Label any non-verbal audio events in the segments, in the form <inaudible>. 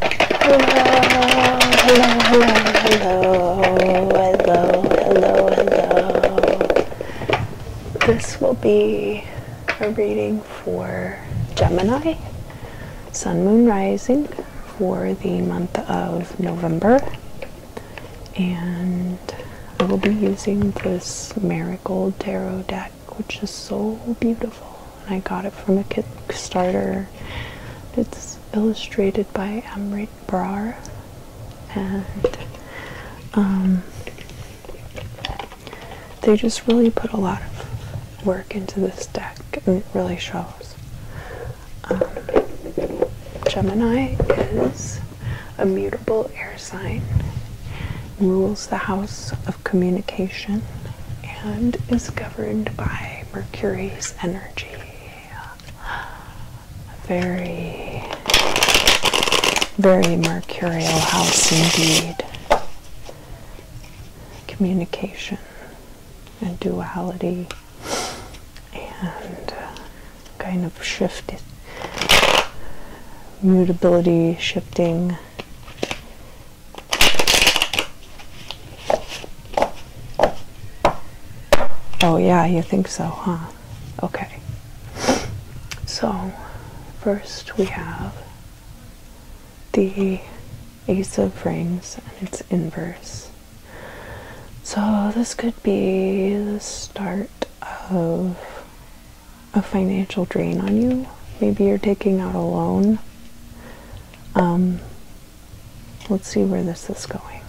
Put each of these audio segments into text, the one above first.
hello, hello, hello, hello. This will be a reading for Gemini, Sun, Moon, Rising for the month of November. And I will be using this Marigold Tarot deck which is so beautiful. And I got it from a Kickstarter. It's illustrated by Amrit Brar, and um, they just really put a lot of work into this deck, and it really shows. Um, Gemini is a mutable air sign, rules the house of communication and is governed by Mercury's energy. Very, very mercurial house indeed. Communication and duality and uh, kind of shift mutability shifting Oh, yeah, you think so, huh? Okay. So, first we have the Ace of Rings and its inverse. So, this could be the start of a financial drain on you. Maybe you're taking out a loan. Um, let's see where this is going.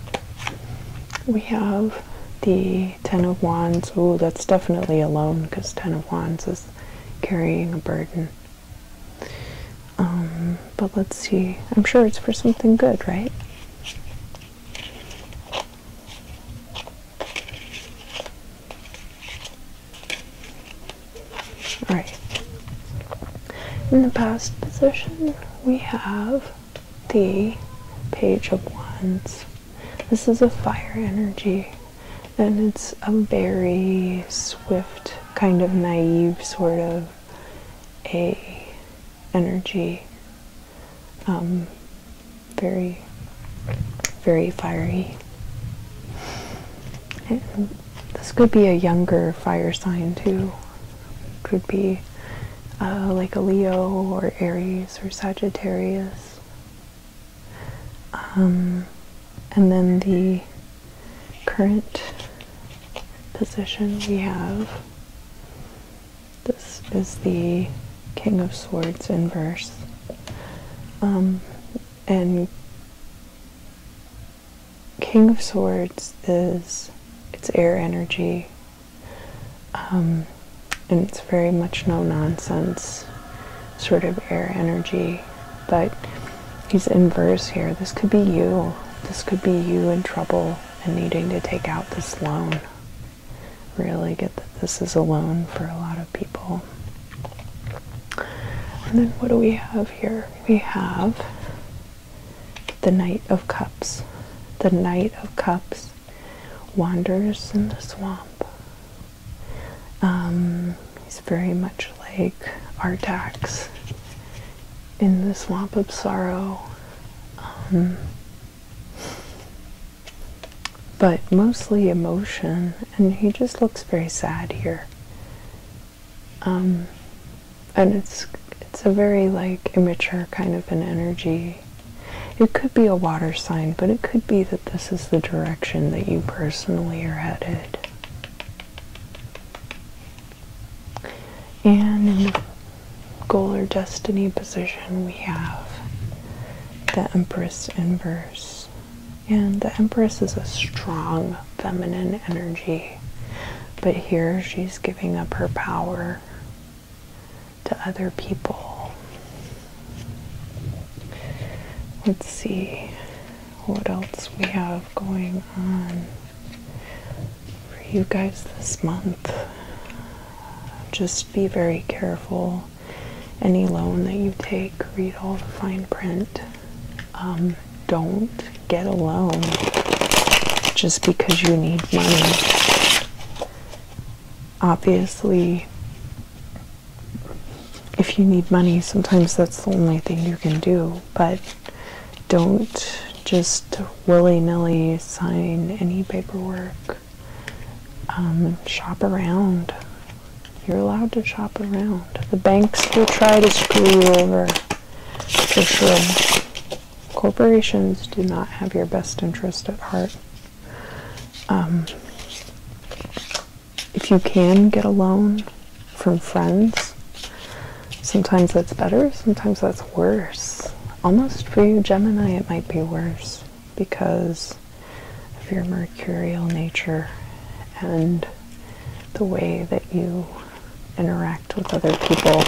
We have the Ten of Wands. Oh, that's definitely a loan because Ten of Wands is carrying a burden. Um, but let's see. I'm sure it's for something good, right? Alright. In the past position, we have the Page of Wands. This is a fire energy, and it's a very swift, kind of naive sort of a energy um, very, very fiery. this could be a younger fire sign too. could be uh, like a Leo or Aries or Sagittarius. Um, and then the current position we have this is the King of Swords in verse. Um, and King of Swords is it's air energy, um, and it's very much no nonsense sort of air energy. But he's in verse here. This could be you. This could be you in trouble and needing to take out this loan really get that this is alone for a lot of people. And then what do we have here? We have the Knight of Cups. The Knight of Cups wanders in the swamp. Um, he's very much like Artax in the swamp of sorrow. Um, but mostly emotion, and he just looks very sad here. Um, and it's it's a very like immature kind of an energy. It could be a water sign, but it could be that this is the direction that you personally are headed. And goal or destiny position, we have the Empress inverse. And the Empress is a strong feminine energy, but here she's giving up her power to other people. Let's see what else we have going on for you guys this month. Just be very careful. Any loan that you take, read all the fine print. Um, don't get a loan just because you need money. Obviously, if you need money, sometimes that's the only thing you can do, but don't just willy-nilly sign any paperwork. Um, shop around. You're allowed to shop around. The banks will try to screw you over, for sure. Corporations do not have your best interest at heart. Um, if you can get a loan from friends, Sometimes that's better, sometimes that's worse. Almost for you, Gemini, it might be worse because of your mercurial nature and the way that you interact with other people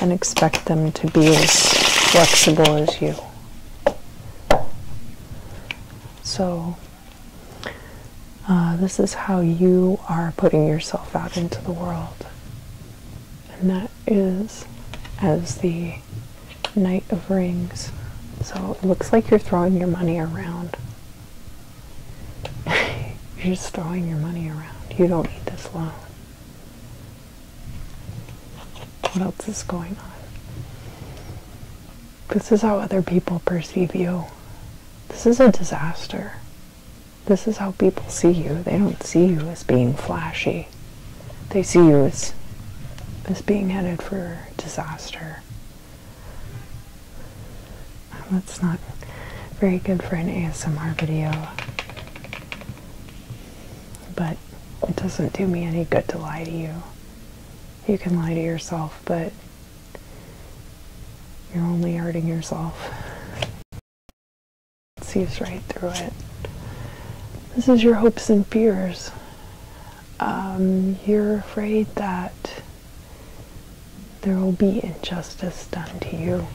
and expect them to be as flexible as you. So, uh, this is how you are putting yourself out into the world. And that is as the Knight of Rings. So it looks like you're throwing your money around. <laughs> you're just throwing your money around. You don't need this loan. What else is going on? This is how other people perceive you. This is a disaster. This is how people see you. They don't see you as being flashy. They see you as as being headed for disaster. That's not very good for an ASMR video. But it doesn't do me any good to lie to you. You can lie to yourself, but you're only hurting yourself. It sees right through it. This is your hopes and fears. Um, you're afraid that there will be injustice done to you.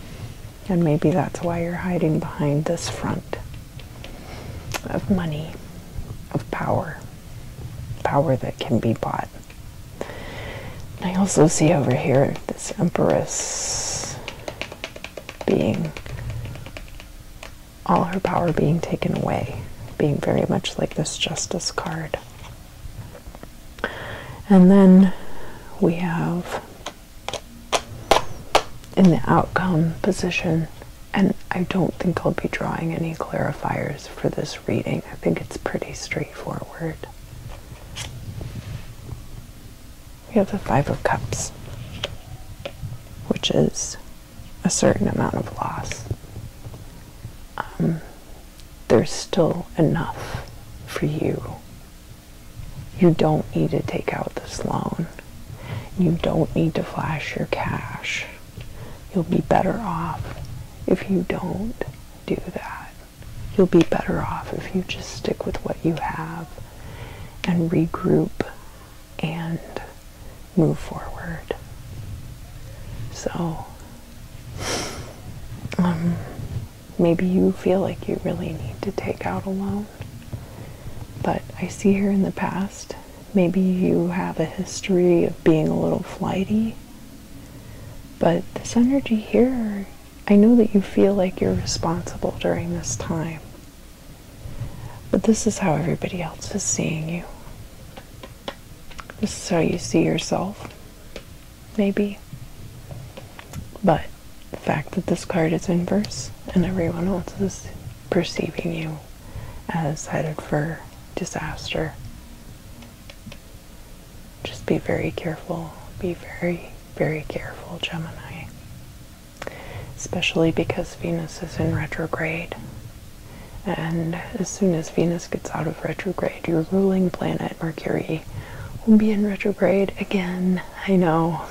And maybe that's why you're hiding behind this front of money, of power, power that can be bought. I also see over here this Empress being all her power being taken away, being very much like this Justice card. And then we have in the outcome position, and I don't think I'll be drawing any clarifiers for this reading. I think it's pretty straightforward. We have the Five of Cups, which is a certain amount of loss. Um, there's still enough for you. You don't need to take out this loan. You don't need to flash your cash. You'll be better off if you don't do that. You'll be better off if you just stick with what you have and regroup and move forward. So, um, maybe you feel like you really need to take out a loan, but I see here in the past Maybe you have a history of being a little flighty. But this energy here, I know that you feel like you're responsible during this time. But this is how everybody else is seeing you. This is how you see yourself, maybe. But the fact that this card is inverse and everyone else is perceiving you now as headed for disaster. Just be very careful. Be very, very careful, Gemini. Especially because Venus is in retrograde. And as soon as Venus gets out of retrograde, your ruling planet, Mercury, will be in retrograde again. I know.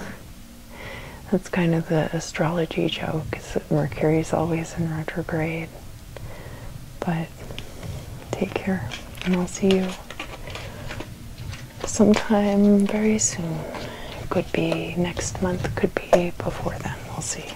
That's kind of the astrology joke, is that Mercury is always always in retrograde. But take care, and I'll see you sometime very soon. Could be next month, could be before then. We'll see.